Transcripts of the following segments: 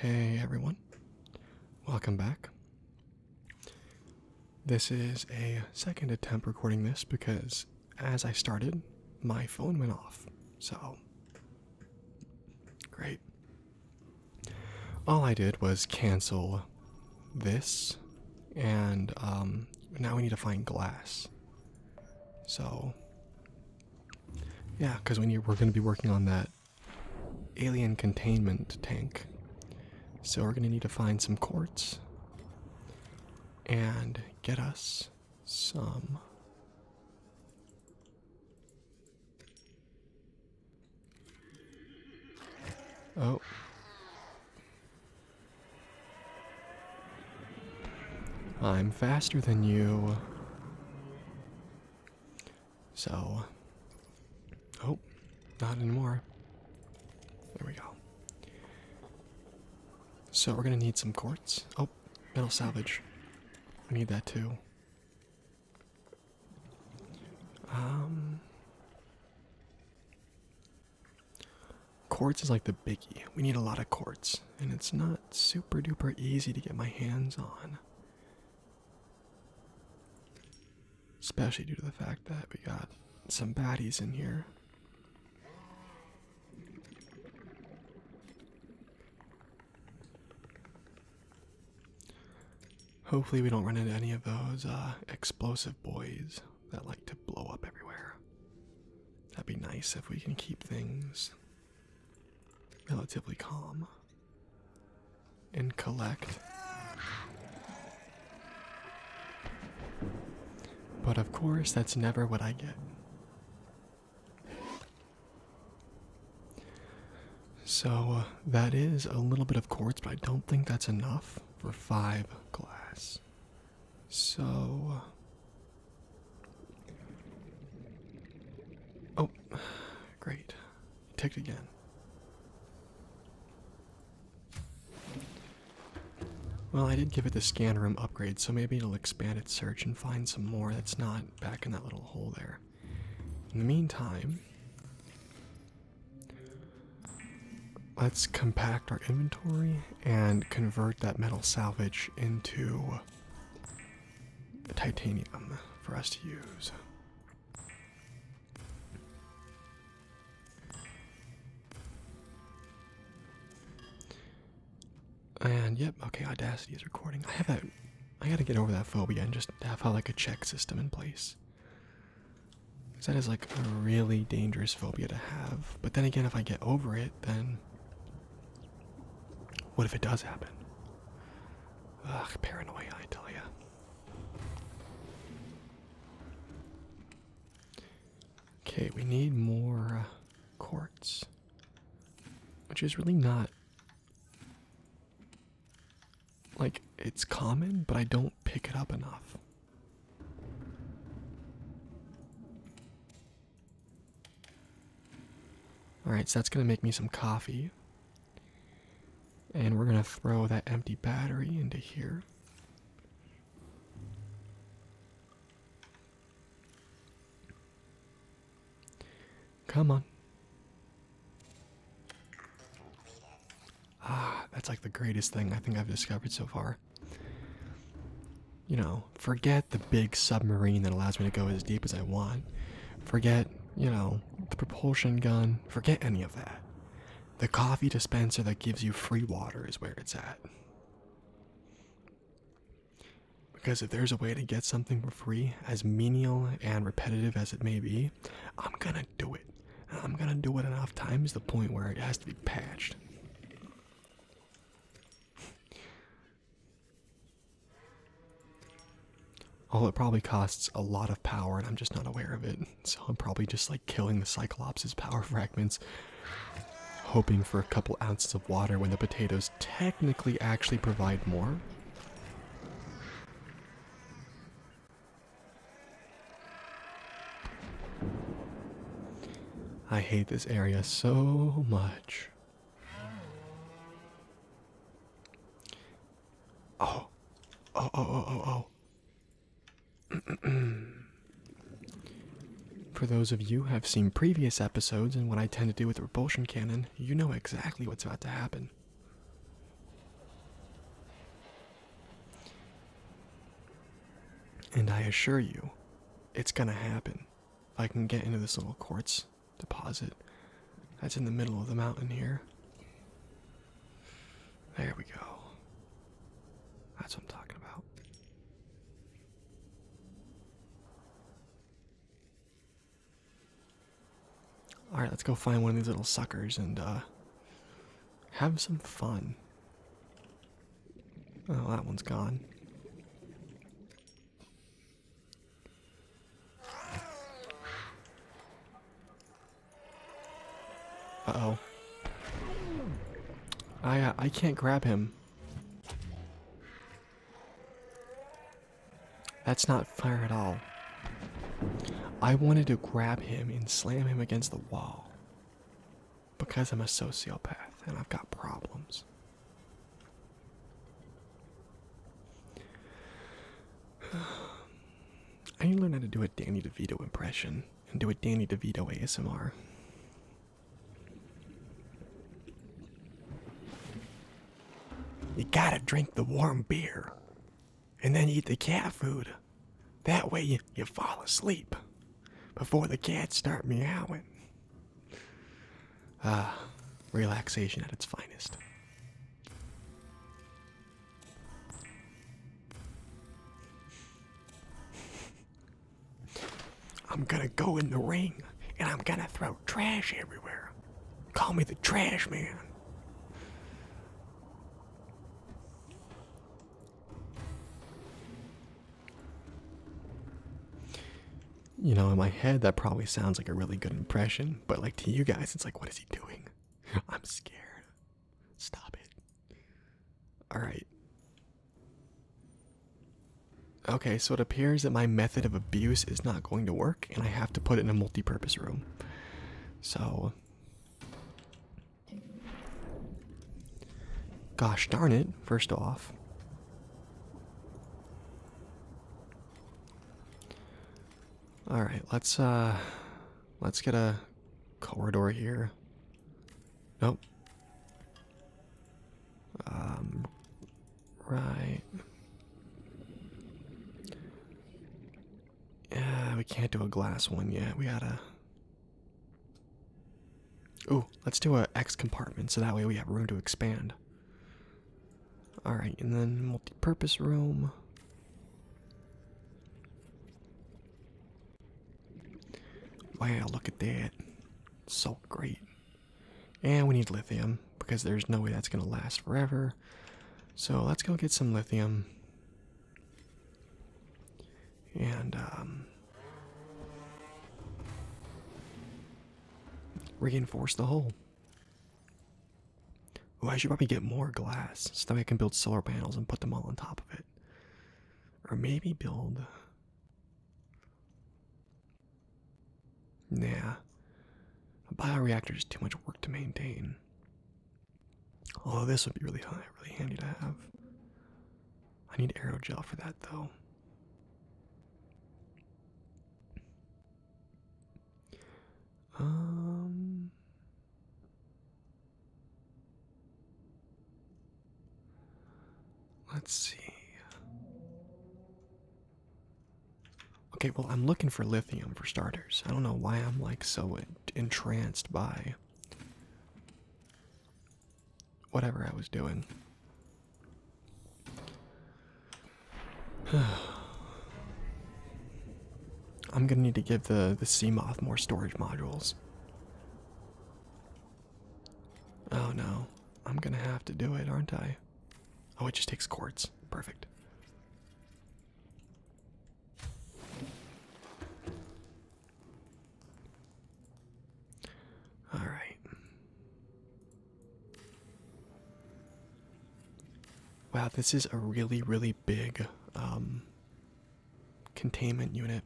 Hey everyone, welcome back. This is a second attempt recording this because as I started, my phone went off. So, great. All I did was cancel this, and um, now we need to find glass. So, yeah, because we're going to be working on that alien containment tank, so we're going to need to find some quartz and get us some. Oh. I'm faster than you. So. Oh, not anymore. There we go. So we're gonna need some quartz. Oh, metal salvage. We need that too. Um. Quartz is like the biggie. We need a lot of quartz, and it's not super duper easy to get my hands on. Especially due to the fact that we got some baddies in here. Hopefully, we don't run into any of those uh, explosive boys that like to blow up everywhere. That'd be nice if we can keep things relatively calm and collect. But of course, that's never what I get. So uh, that is a little bit of quartz, but I don't think that's enough for five glass. So. Oh, great. Ticked again. Well, I did give it the scan room upgrade, so maybe it'll expand its search and find some more that's not back in that little hole there. In the meantime, let's compact our inventory and convert that metal salvage torch into titanium for us to use. And yep, okay, Audacity is recording. I have a, gotta get over that phobia and just have uh, like a check system in place. Cause that is like a really dangerous phobia to have. But then again if I get over it then what if it does happen? Ugh, paranoia, I tell ya. Okay, we need more uh, quartz, which is really not. Like, it's common, but I don't pick it up enough. Alright, so that's going to make me some coffee. And we're going to throw that empty battery into here. Come on. Ah, that's like the greatest thing I think I've discovered so far. You know, forget the big submarine that allows me to go as deep as I want. Forget, you know, the propulsion gun. Forget any of that. The coffee dispenser that gives you free water is where it's at. Because if there's a way to get something for free, as menial and repetitive as it may be, I'm gonna do it. I'm gonna do it enough times the point where it has to be patched. Oh, it probably costs a lot of power, and I'm just not aware of it. So I'm probably just like killing the Cyclops' power fragments, hoping for a couple ounces of water when the potatoes technically actually provide more. I hate this area so much. Oh, oh, oh, oh, oh, For those of you who have seen previous episodes and what I tend to do with the repulsion cannon, you know exactly what's about to happen. And I assure you, it's gonna happen. If I can get into this little quartz deposit that's in the middle of the mountain here. There we go. That's what I'm talking about. All right, let's go find one of these little suckers and uh, have some fun. Oh, that one's gone. Uh-oh. I, uh, I can't grab him. That's not fair at all. I wanted to grab him and slam him against the wall because I'm a sociopath and I've got problems. I need to learn how to do a Danny DeVito impression and do a Danny DeVito ASMR. You gotta drink the warm beer and then eat the cat food. That way you, fall asleep before the cats start meowing. Ah, relaxation at its finest. I'm gonna go in the ring and I'm gonna throw trash everywhere. Call me the trash man. You know, in my head, that probably sounds like a really good impression, but like to you guys, it's like, what is he doing? I'm scared. Stop it. Alright. Okay, so it appears that my method of abuse is not going to work, and I have to put it in a multi purpose room. So. Gosh darn it, first off. Alright, let's uh let's get a corridor here. Nope. Um right. Yeah, uh, we can't do a glass one yet. We gotta Oh, let's do a X compartment so that way we have room to expand. Alright, and then multi-purpose room. Wow, look at that. so great. And we need lithium because there's no way that's going to last forever. So let's go get some lithium and um, reinforce the hole. Oh, I should probably get more glass so that I can build solar panels and put them all on top of it. Or maybe build. Nah. A bioreactor is too much work to maintain. Although this would be really, really handy to have. I need aerogel for that though. Um Let's see. Okay, well, I'm looking for lithium for starters. I don't know why I'm like so entranced by whatever I was doing. I'm gonna need to give the the Seamoth more storage modules. Oh no, I'm gonna have to do it, aren't I? Oh, it just takes quartz. Perfect. All right. Wow, this is a really, really big um, containment unit.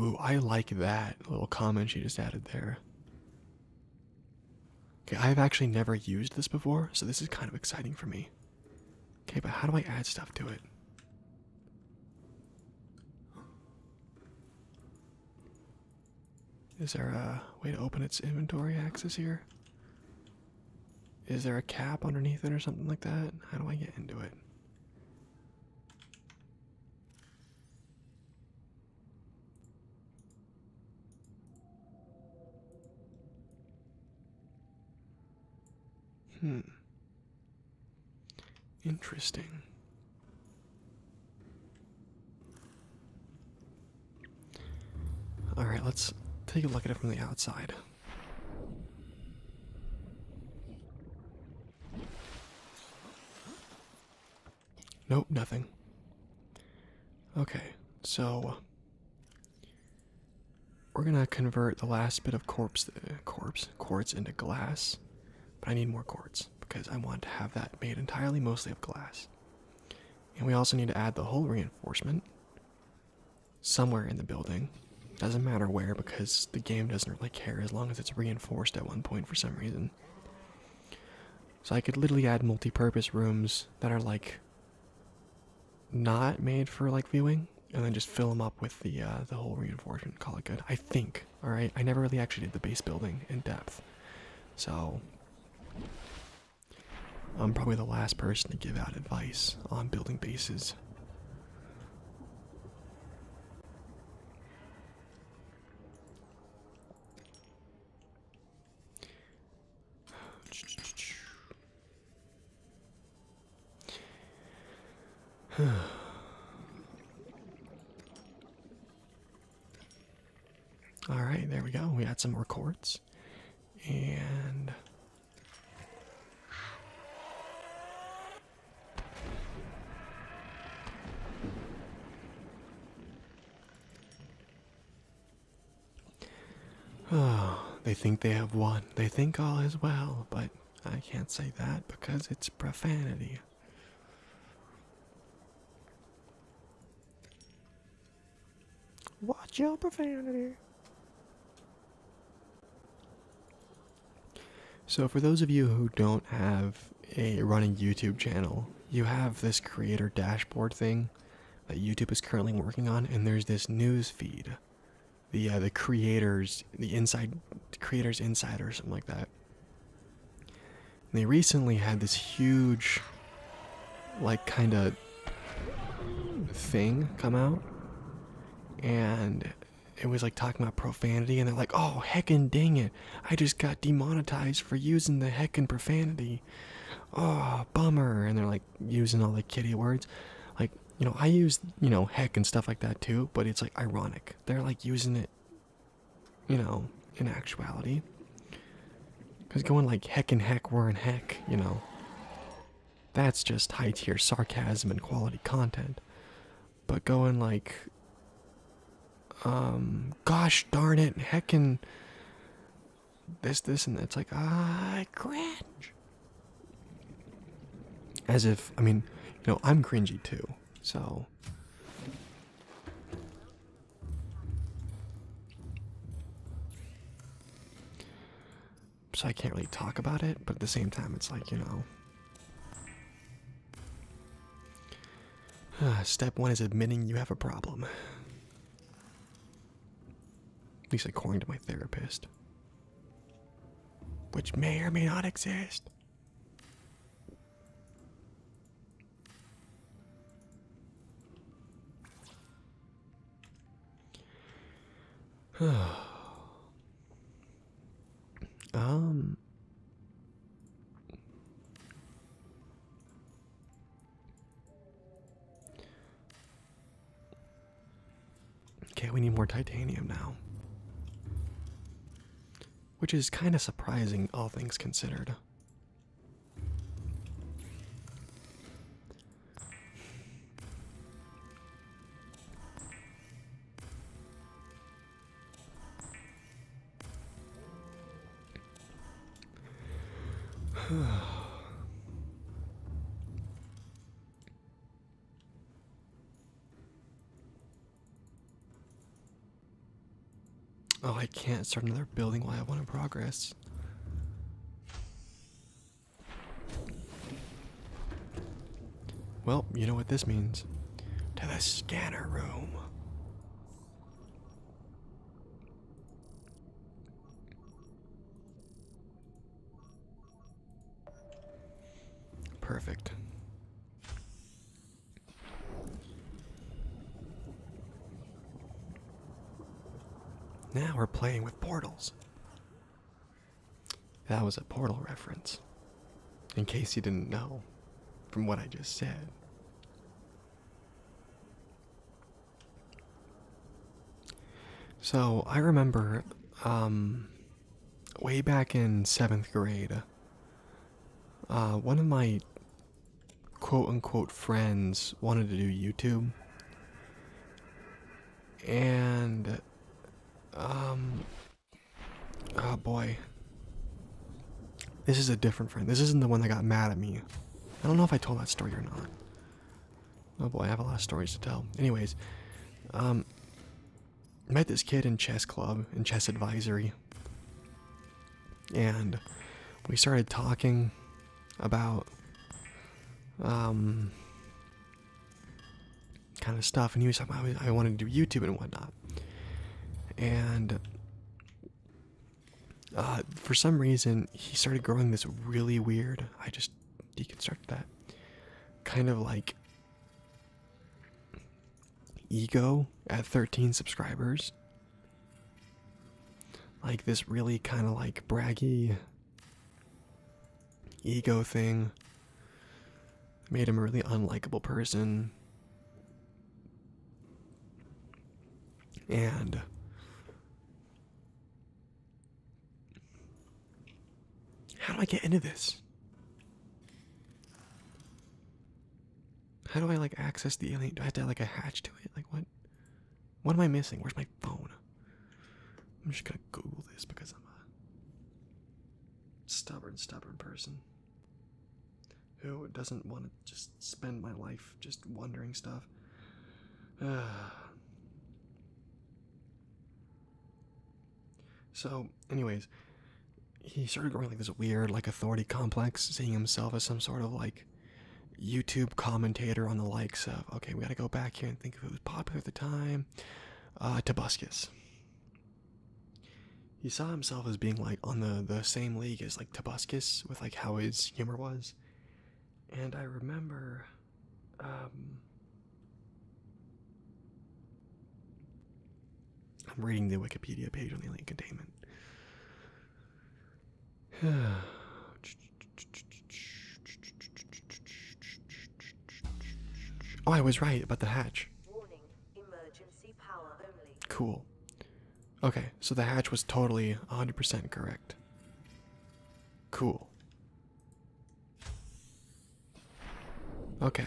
Ooh, I like that little comment she just added there. Okay, I've actually never used this before, so this is kind of exciting for me. Okay, but how do I add stuff to it? Is there a way to open its inventory access here? Is there a cap underneath it or something like that? How do I get into it? Hmm. Interesting. All right, let's take a look at it from the outside. Nope, nothing. Okay, so uh, we're gonna convert the last bit of corpse, uh, corpse quartz into glass, but I need more quartz because I want to have that made entirely mostly of glass. And we also need to add the whole reinforcement somewhere in the building. Doesn't matter where because the game doesn't really care as long as it's reinforced at one point for some reason. So I could literally add multi-purpose rooms that are like not made for like viewing, and then just fill them up with the uh, the whole reinforcement. Call it good. I think. All right. I never really actually did the base building in depth, so I'm probably the last person to give out advice on building bases. All right, there we go. We had some more chords. And Oh, they think they have won. They think all is well, but I can't say that because it's profanity. Watch your profanity. So, for those of you who don't have a running YouTube channel, you have this creator dashboard thing that YouTube is currently working on, and there's this news feed, the uh, the creators, the inside creators insider, or something like that. they recently had this huge, like, kind of thing come out, and it was like talking about profanity, and they're like, "Oh, heckin' dang it!" I just got demonetized for using the heckin' profanity. Oh, bummer. And they're like using all the kitty words. Like, you know, I use, you know, heck and stuff like that too, but it's like ironic. They're like using it, you know, in actuality. Because going like heck and heck, were are in heck, you know. That's just high tier sarcasm and quality content but going like um gosh darn it heckin this this and it's like ah cringe as if i mean you know i'm cringy too so so i can't really talk about it but at the same time it's like you know Ah, step one is admitting you have a problem. At least according to my therapist. Which may or may not exist. um, Okay, we need more titanium now. Which is kind of surprising, all things considered. oh, I can't start another building while I want to progress. Well, you know what this means. To the scanner room. Perfect. Now we're playing with portals. That was a portal reference in case you didn't know from what I just said. So I remember um, way back in seventh grade, uh, one of my quote unquote friends wanted to do YouTube. And um, Oh boy. This is a different friend. This isn't the one that got mad at me. I don't know if I told that story or not. Oh boy, I have a lot of stories to tell. Anyways, um, met this kid in chess club, in chess advisory. And we started talking about um, kind of stuff. And he was like, I wanted to do YouTube and whatnot. And uh, for some reason, he started growing this really weird. I just deconstruct that kind of like ego at 13 subscribers. Like this really kind of like braggy ego thing made him a really unlikable person. And how do I get into this? How do I like access the alien? Do I have to like a hatch to it? Like what? What am I missing? Where's my phone? I'm just gonna Google this because I'm a stubborn, stubborn person. Who doesn't want to just spend my life just wondering stuff? so, anyways, he started growing like this weird, like, authority complex, seeing himself as some sort of like YouTube commentator on the likes of, okay, we gotta go back here and think of who was popular at the time. Uh, Tobuscus. He saw himself as being like on the the same league as like Tobuscus with like how his humor was, and I remember, um, I'm reading the Wikipedia page on the alien containment. oh, I was right about the hatch. Cool. Okay, so the hatch was totally 100% correct. Cool. Okay.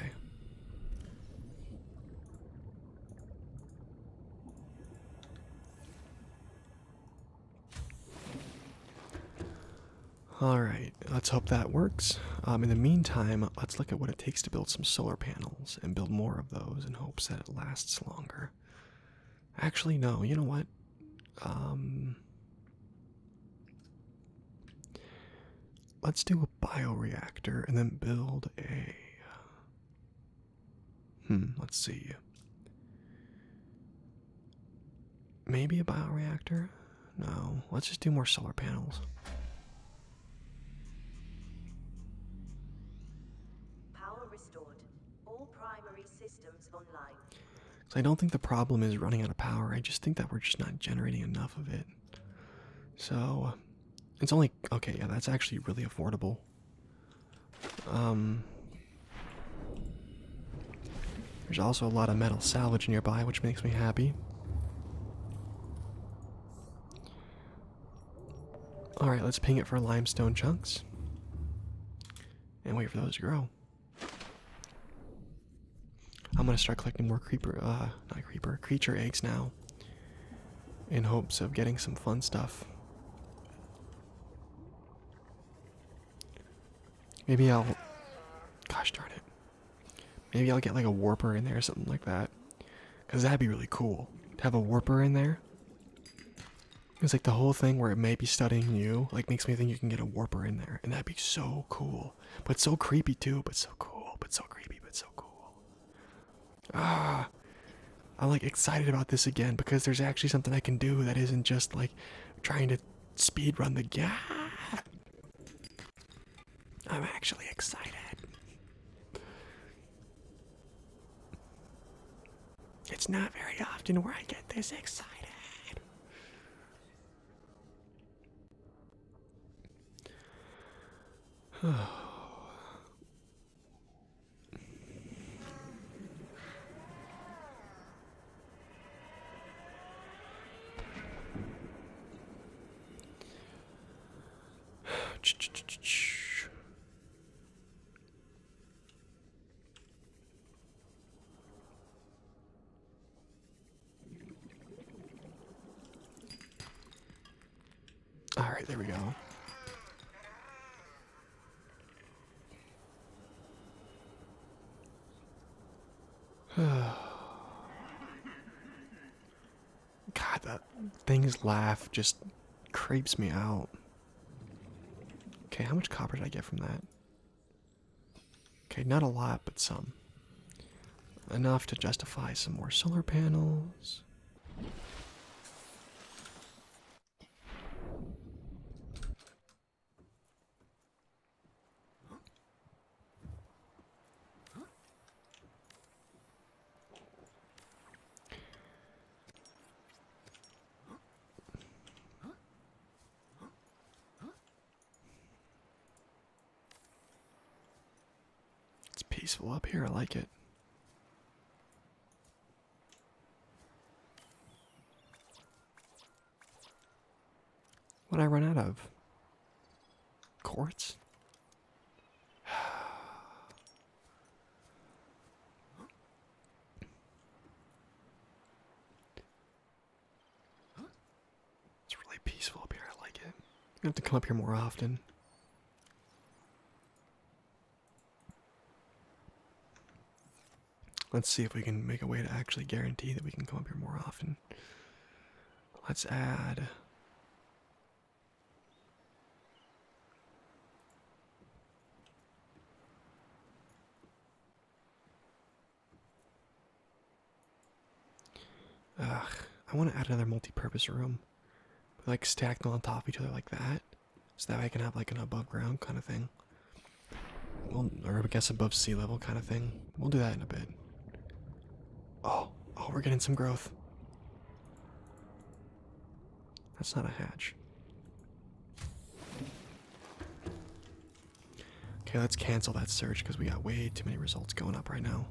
Alright, let's hope that works. Um, in the meantime, let's look at what it takes to build some solar panels and build more of those in hopes that it lasts longer. Actually, no, you know what? Um, let's do a bioreactor and then build a. Hmm, let's see. Maybe a bioreactor? No, let's just do more solar panels. Power restored. So I don't think the problem is running out of power. I just think that we're just not generating enough of it. So it's only okay, yeah, that's actually really affordable. Um There's also a lot of metal salvage nearby, which makes me happy. Alright, let's ping it for limestone chunks. And wait for those to grow. I'm gonna start collecting more creeper, uh, not creeper, creature eggs now. In hopes of getting some fun stuff. Maybe I'll. Gosh darn it. Maybe I'll get like a warper in there or something like that. Because that'd be really cool to have a warper in there. It's like the whole thing where it may be studying you, like makes me think you can get a warper in there. And that'd be so cool. But so creepy too, but so cool, but so creepy, but so cool. Ah, I'm like excited about this again because there's actually something I can do that isn't just like trying to speed run the game. I'm actually excited. It's not very often where I get this excited. All right, there we go. God, that thing's laugh just creeps me out. Okay, how much copper did I get from that? Okay, not a lot, but some. Enough to justify some more solar panels. It's peaceful up here, I like it. What I run out of? Quartz? It's really peaceful up here. I like it. I have to come up here more often. Let's see if we can make a way to actually guarantee that we can come up here more often. Let's add Ugh, I want to add another multi-purpose room, like stack on top of each other like that, so that way I can have like an above ground kind of thing. Well, or I guess above sea level kind of thing. We'll do that in a bit. Oh, oh, we're getting some growth. That's not a hatch. Okay, let's cancel that search because we got way too many results going up right now.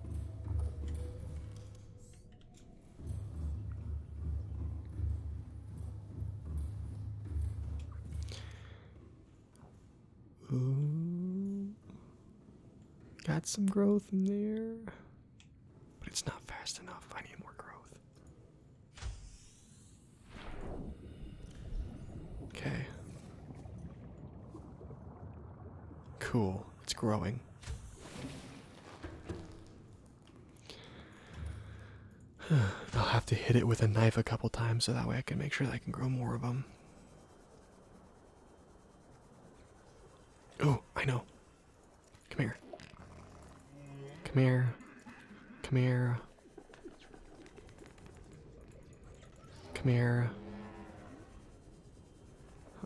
Got some growth in there, but it's not fast enough. I need more growth. Okay. Cool. It's growing. I'll have to hit it with a knife a couple times so that way I can make sure that I can grow more of them. Oh, I know. Come here. Come here. Come here. Come here.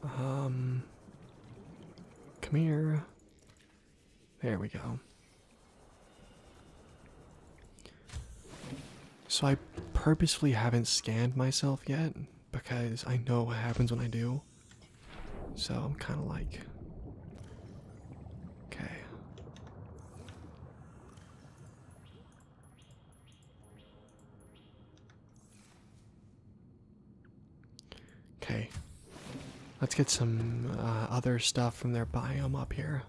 Um. Come here. There we go. So I purposefully haven't scanned myself yet because I know what happens when I do. So I'm kind of like, okay. Okay, let's get some uh, other stuff from their biome up here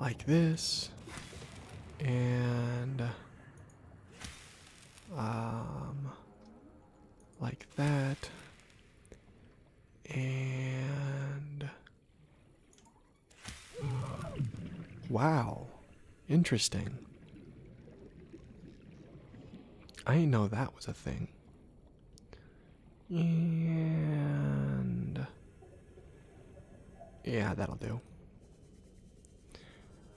like this and um like that and wow interesting I didn't know that was a thing and yeah, that'll do.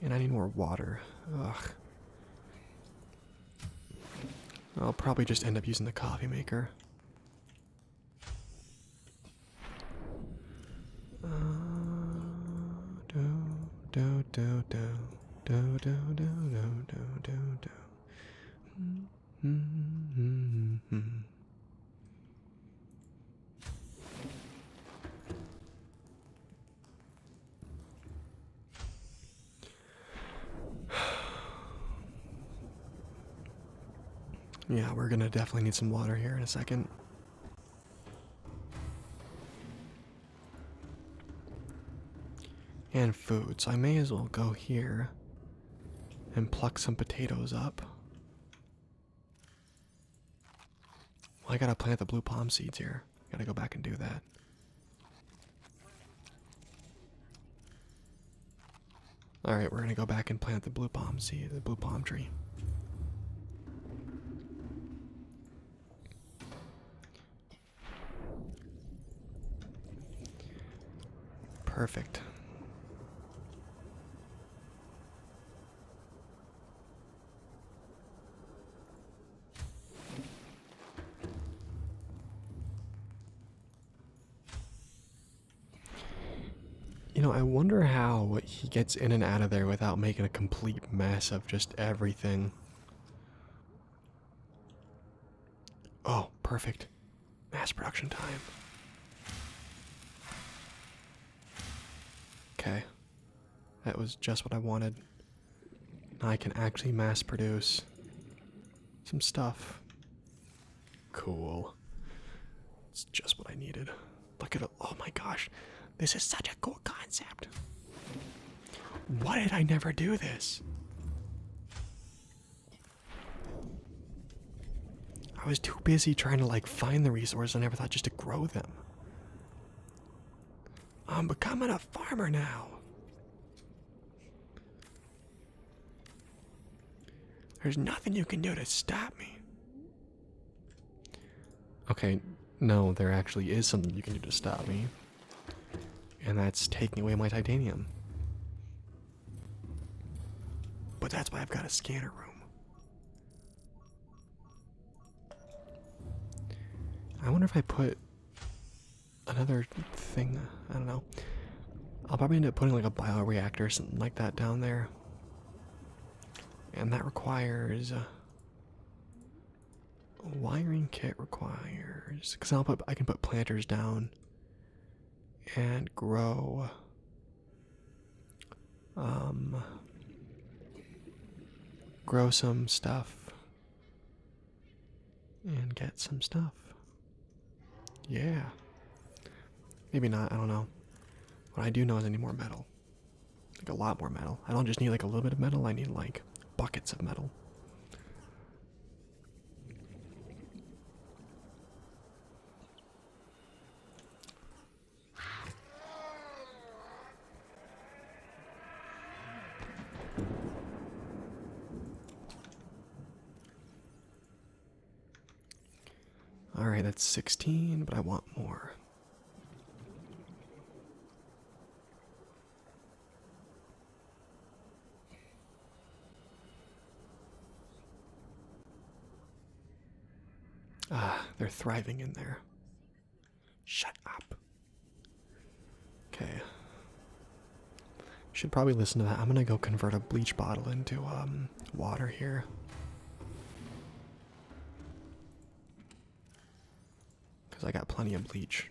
And I need more water. Ugh. I'll probably just end up using the coffee maker. yeah, we're gonna definitely need some water here in a second. And food, so I may as well go here and pluck some potatoes up. I gotta plant the blue palm seeds here. Gotta go back and do that. Alright, we're gonna go back and plant the blue palm seed, the blue palm tree. Perfect. You know, I wonder how he gets in and out of there without making a complete mess of just everything. Oh, perfect. Mass production time. Okay. That was just what I wanted. I can actually mass produce some stuff. Cool. It's just what I needed. Look at it. Oh my gosh. This is such a cool concept. Why did I never do this? I was too busy trying to like find the resources I never thought just to grow them. I'm becoming a farmer now. There's nothing you can do to stop me. Okay, no, there actually is something you can do to stop me. And that's taking away my titanium. But that's why I've got a scanner room. I wonder if I put another thing, I don't know. I'll probably end up putting like a bioreactor or something like that down there. And that requires a wiring kit requires because I'll put I can put planters down and grow um, grow some stuff and get some stuff. Yeah. Maybe not, I don't know. What I do know is any more metal. Like a lot more metal. I don't just need like a little bit of metal, I need like buckets of metal. All right, that's 16, but I want more. Ah, they're thriving in there. Shut up. Okay. Should probably listen to that. I'm gonna go convert a bleach bottle into um water here. Cause I got plenty of bleach.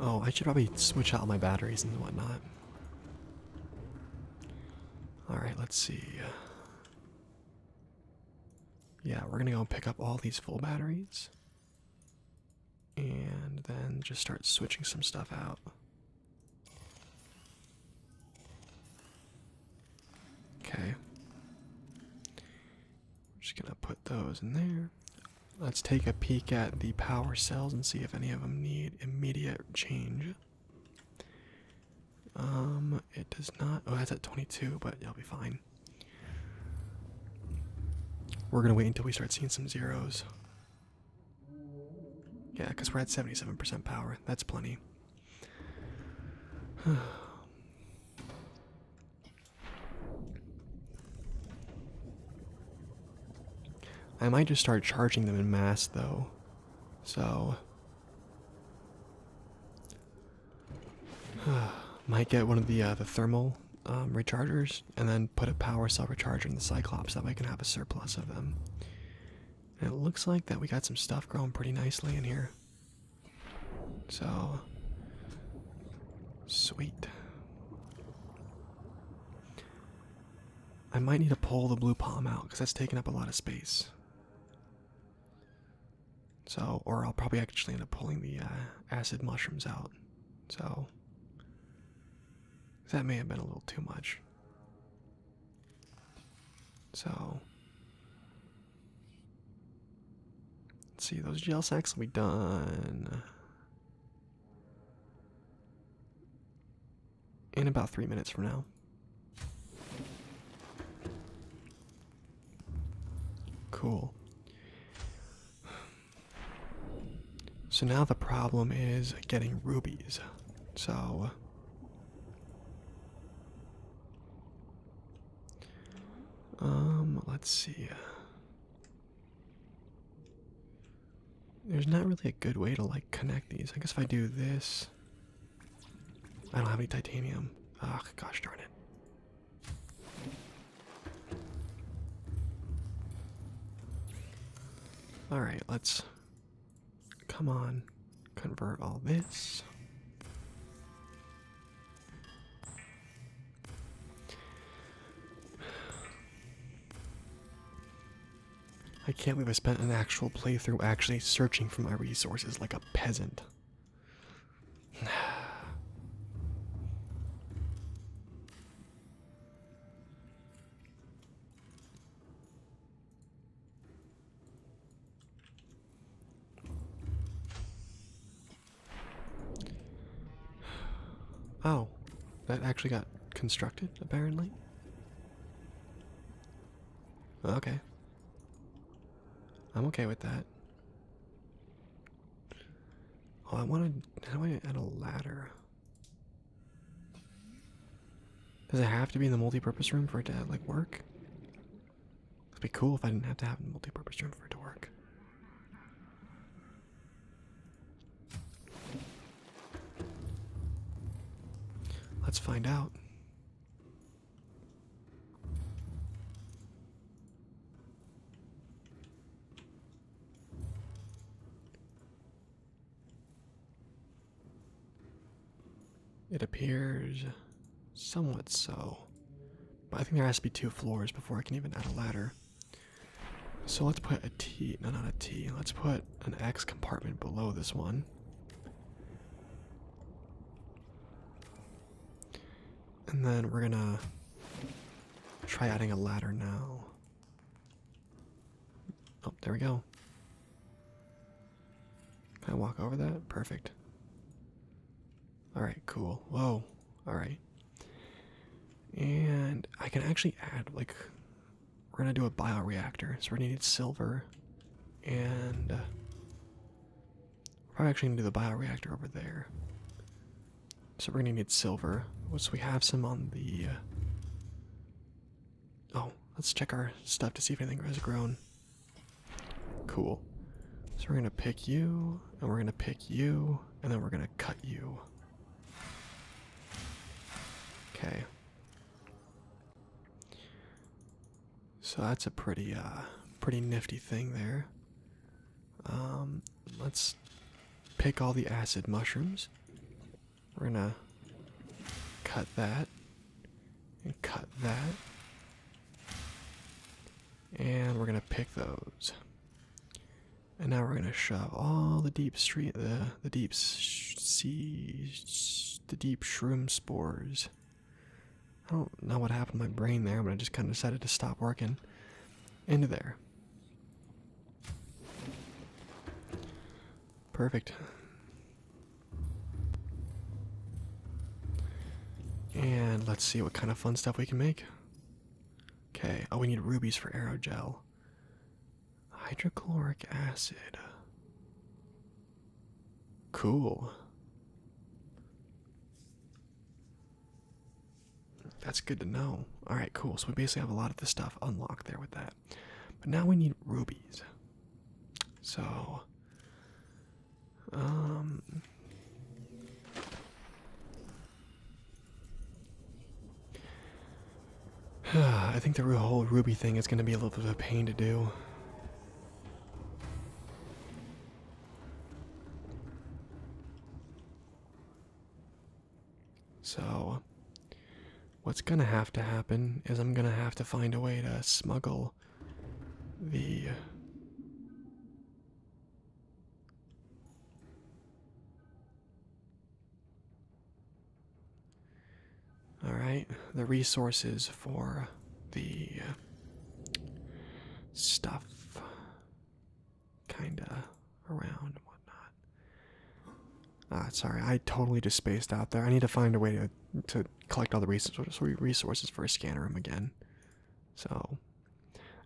Oh, I should probably switch out my batteries and whatnot. Alright, let's see. Yeah, we're gonna go pick up all these full batteries. And then just start switching some stuff out. Okay. We're just gonna put those in there. Let's take a peek at the power cells and see if any of them need immediate change. Um, it does not. Oh, that's at 22, but you'll be fine. We're gonna wait until we start seeing some zeros. Yeah, because we're at 77% power. That's plenty. I might just start charging them in mass though. So might get one of the uh, the thermal um, rechargers and then put a power cell recharger in the Cyclops that way I can have a surplus of them. it looks like that we got some stuff growing pretty nicely in here. So sweet. I might need to pull the blue palm out because that's taking up a lot of space. So, or I'll probably actually end up pulling the uh, acid mushrooms out. So, that may have been a little too much. So, see, those gel sacks will be done in about three minutes from now. Cool. So now the problem is getting rubies. So um, let's see. There's not really a good way to like connect these. I guess if I do this, I don't have any titanium. oh, gosh darn it. All right, let's come on, convert all this. I can't believe I spent an actual playthrough actually searching for my resources like a peasant. Oh, that actually got constructed, apparently. Okay. I'm okay with that. Oh, I want to. How do I add a ladder? Does it have to be in the multi-purpose room for it to like work? It'd be cool if I didn't have to have a multi-purpose room for it to work. Let's find out. It appears Somewhat so. But I think there has to be two floors before I can even add a ladder. So let's put a T, no, not a T. Let's put an X compartment below this one. And then we're gonna try adding a ladder now. Oh, there we go. Can I walk over that? Perfect. All right, cool. Whoa. All right. And I can actually add, like, we're going to do a bioreactor. So we're going to need silver. And uh, we're probably actually going to do the bioreactor over there. So we're going to need silver. Once we have some on the. Uh, oh, let's check our stuff to see if anything has grown. Cool. So we're gonna pick you, and we're gonna pick you, and then we're gonna cut you. Okay. So that's a pretty uh pretty nifty thing there. Um let's pick all the acid mushrooms. We're gonna cut that and cut that and we're gonna pick those. And now we're gonna shove all the deep street, the the deep sea, the deep shroom spores. I don't know what happened to my brain there, but I just kind of decided to stop working. Into there. Perfect. And let's see what kind of fun stuff we can make. Okay, oh, we need rubies for aerogel. Hydrochloric acid. Cool. That's good to know. Alright, cool. So we basically have a lot of the stuff unlocked there with that. But now we need rubies. So um. I think the whole ruby thing is going to be a little bit of a pain to do. So, what's going to have to happen is I'm going to have to find a way to smuggle the all right the resources for the stuff kinda around and whatnot ah sorry i totally just spaced out there i need to find a way to to collect all the resources resources for a scanner room again so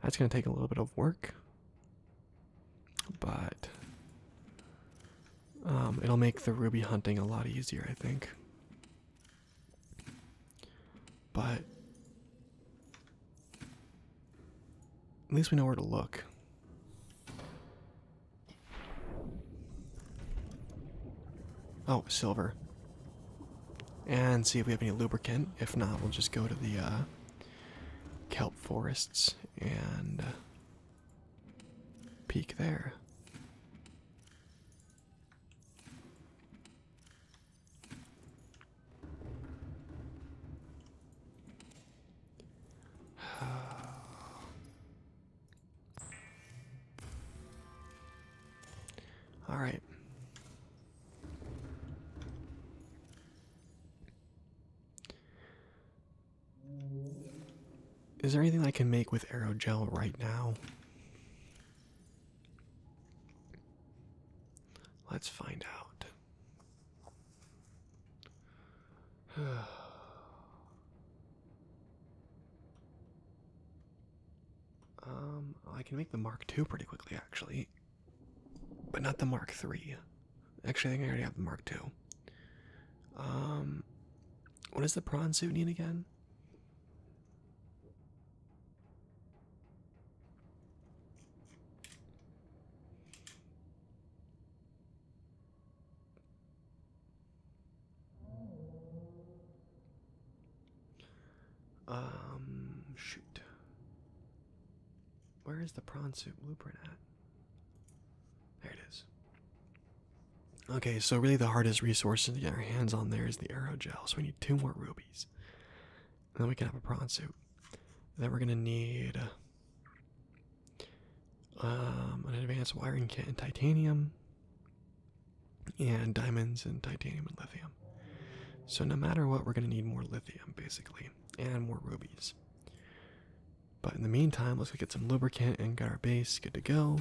that's going to take a little bit of work, but um, it'll make the ruby hunting a lot easier, I think. But at least we know where to look. Oh, silver and see if we have any lubricant. If not, we'll just go to the uh, kelp forests and uh, peek there. All right. Is there anything I can make with aerogel right now? Let's find out. Um, I can make the Mark II pretty quickly, actually, but not the Mark III. Actually, I think I already have the Mark II. Um, what does the prawn suit need again? Um, shoot. Where is the prawn suit blueprint at? There it is. Okay, so really the hardest resource to get our hands on there is the aerogel, so we need two more rubies. And then we can have a prawn suit. And then we're gonna need um, an advanced wiring kit and titanium and diamonds and titanium and lithium. So, no matter what, we're going to need more lithium basically and more rubies. But in the meantime, let's get some lubricant and get our base good to go.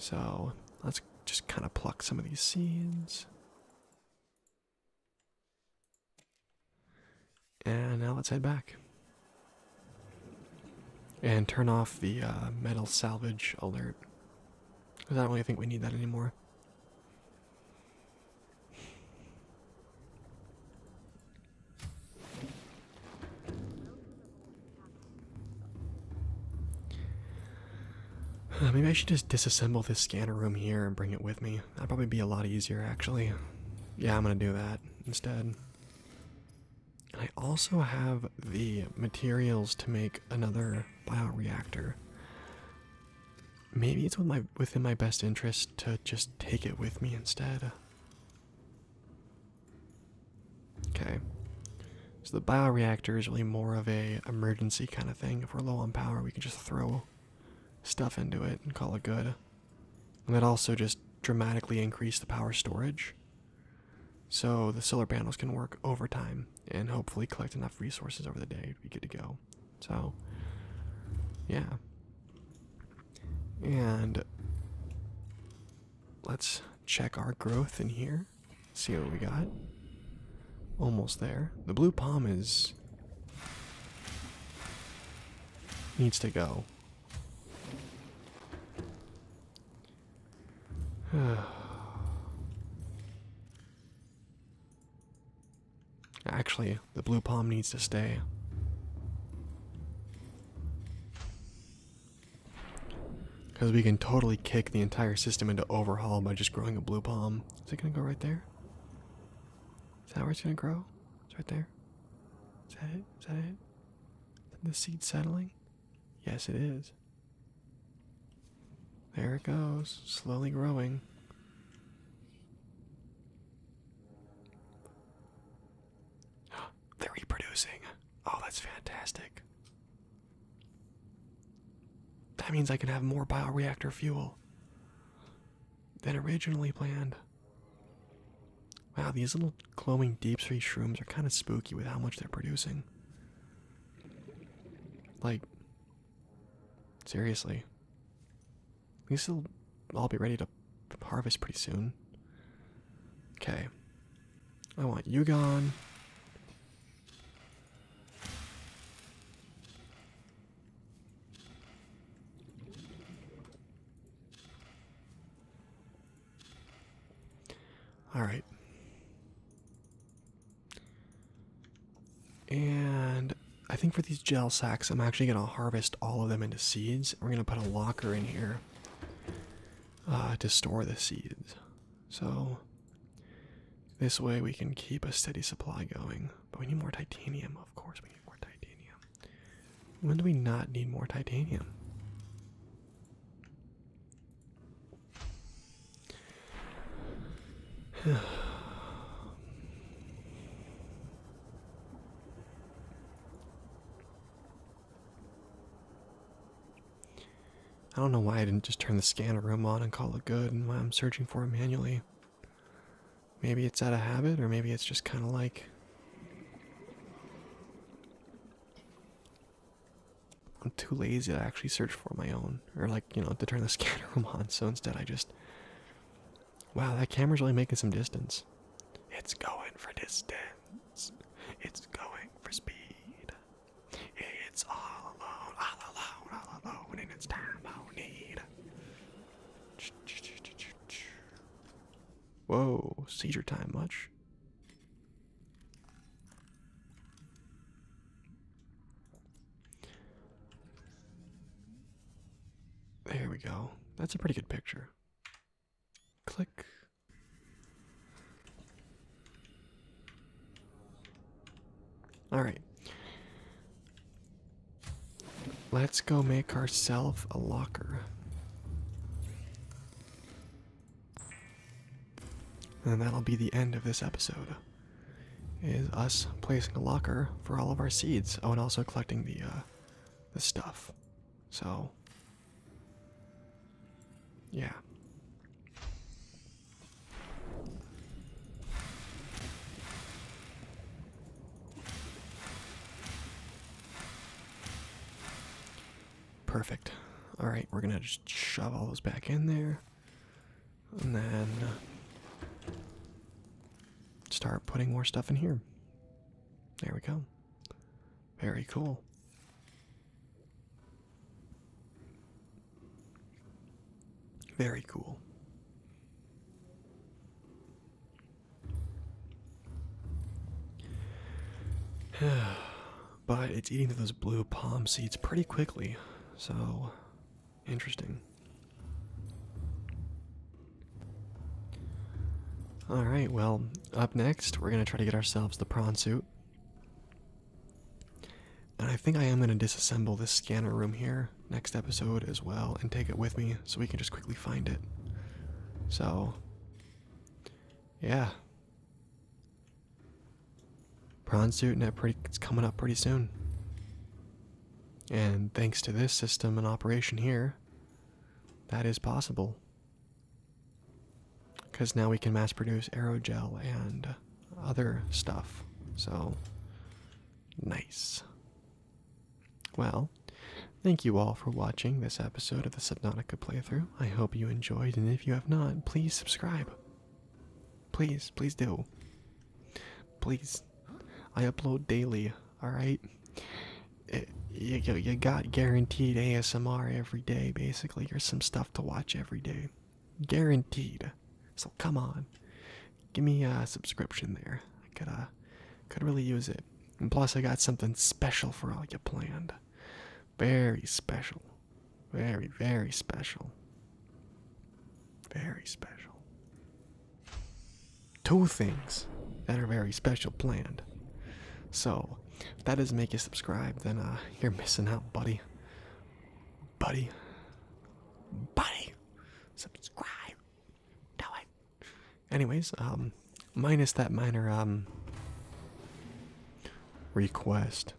So let's just kind of pluck some of these seeds. And now let's head back. And turn off the uh, metal salvage alert. Because I don't really think we need that anymore. Maybe I should just disassemble this scanner room here and bring it with me. That'd probably be a lot easier, actually. Yeah, I'm gonna do that instead. I also have the materials to make another bioreactor. Maybe it's within my best interest to just take it with me instead. Okay. So the bioreactor is really more of a emergency kind of thing. If we're low on power, we can just throw stuff into it and call it good. And that also just dramatically increased the power storage. So the solar panels can work overtime and hopefully collect enough resources over the day to be good to go. So, yeah. And let's check our growth in here, see what we got. Almost there. The blue palm is. needs to go. Actually, the blue palm needs to stay. Because we can totally kick the entire system into overhaul by just growing a blue palm. Is it going to go right there? Is that where it's gonna grow? It's right there. Is that it? Is that it? the seed settling? Yes, it is. There it goes, slowly growing. They're reproducing. Oh, that's fantastic. That means I can have more bioreactor fuel than originally planned. Wow, these little glowing deep sea shrooms are kind of spooky with how much they're producing. Like, seriously. These will all be ready to harvest pretty soon. Okay. I want you gone. All right. And I think for these gel sacks, I'm actually going to harvest all of them into seeds. We're going to put a locker in here uh, to store the seeds. So this way we can keep a steady supply going. But we need more titanium, of course. We need more titanium. When do we not need more titanium? I don't know why I didn't just turn the scanner room on and call it good and why I'm searching for it manually. Maybe it's out of habit, or maybe it's just kind of like. I'm too lazy to actually search for my own, or like, you know, to turn the scanner on, so instead I just. Wow, that camera's really making some distance. It's going for distance. It's going for speed. It's all all need. Whoa, seizure time much? There we go. That's a pretty good picture. Click. All right. Let's go make ourselves a locker. And that'll be the end of this episode. Is us placing a locker for all of our seeds. Oh, and also collecting the uh the stuff. So yeah. Perfect. All right, we're gonna just shove all those back in there, and then start putting more stuff in here. There we go. Very cool. Very cool. but it's eating those blue palm seeds pretty quickly, so interesting. Alright, well, up next, we're going to try to get ourselves the prawn suit. And I think I am going to disassemble this scanner room here next episode as well and take it with me so we can just quickly find it. So, yeah. Prawn suit and that pretty it's coming up pretty soon. And thanks to this system and operation here, that is possible. Because now we can mass produce aerogel and other stuff. So nice. Well, thank you all for watching this episode of the Subnautica playthrough. I hope you enjoyed, and if you have not, please subscribe. Please, please do. Please. I upload daily, alright? You, got guaranteed ASMR every day, basically, there's some stuff to watch every day guaranteed. So come on, give me a subscription there. I could uh, could really use it. And plus, I got something special for all you planned. Very special, very very special, very special. Two things that are very special planned. So, if that doesn't make you subscribe, then uh, you're missing out, buddy buddy. Buddy! Subscribe! Do Anyways, um, minus that minor, um, request,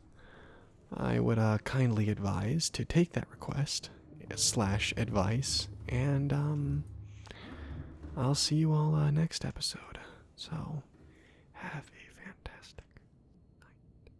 I would, uh, kindly advise to take that request, slash advice, and, um, I'll see you all, uh, next episode. So, have a fantastic night.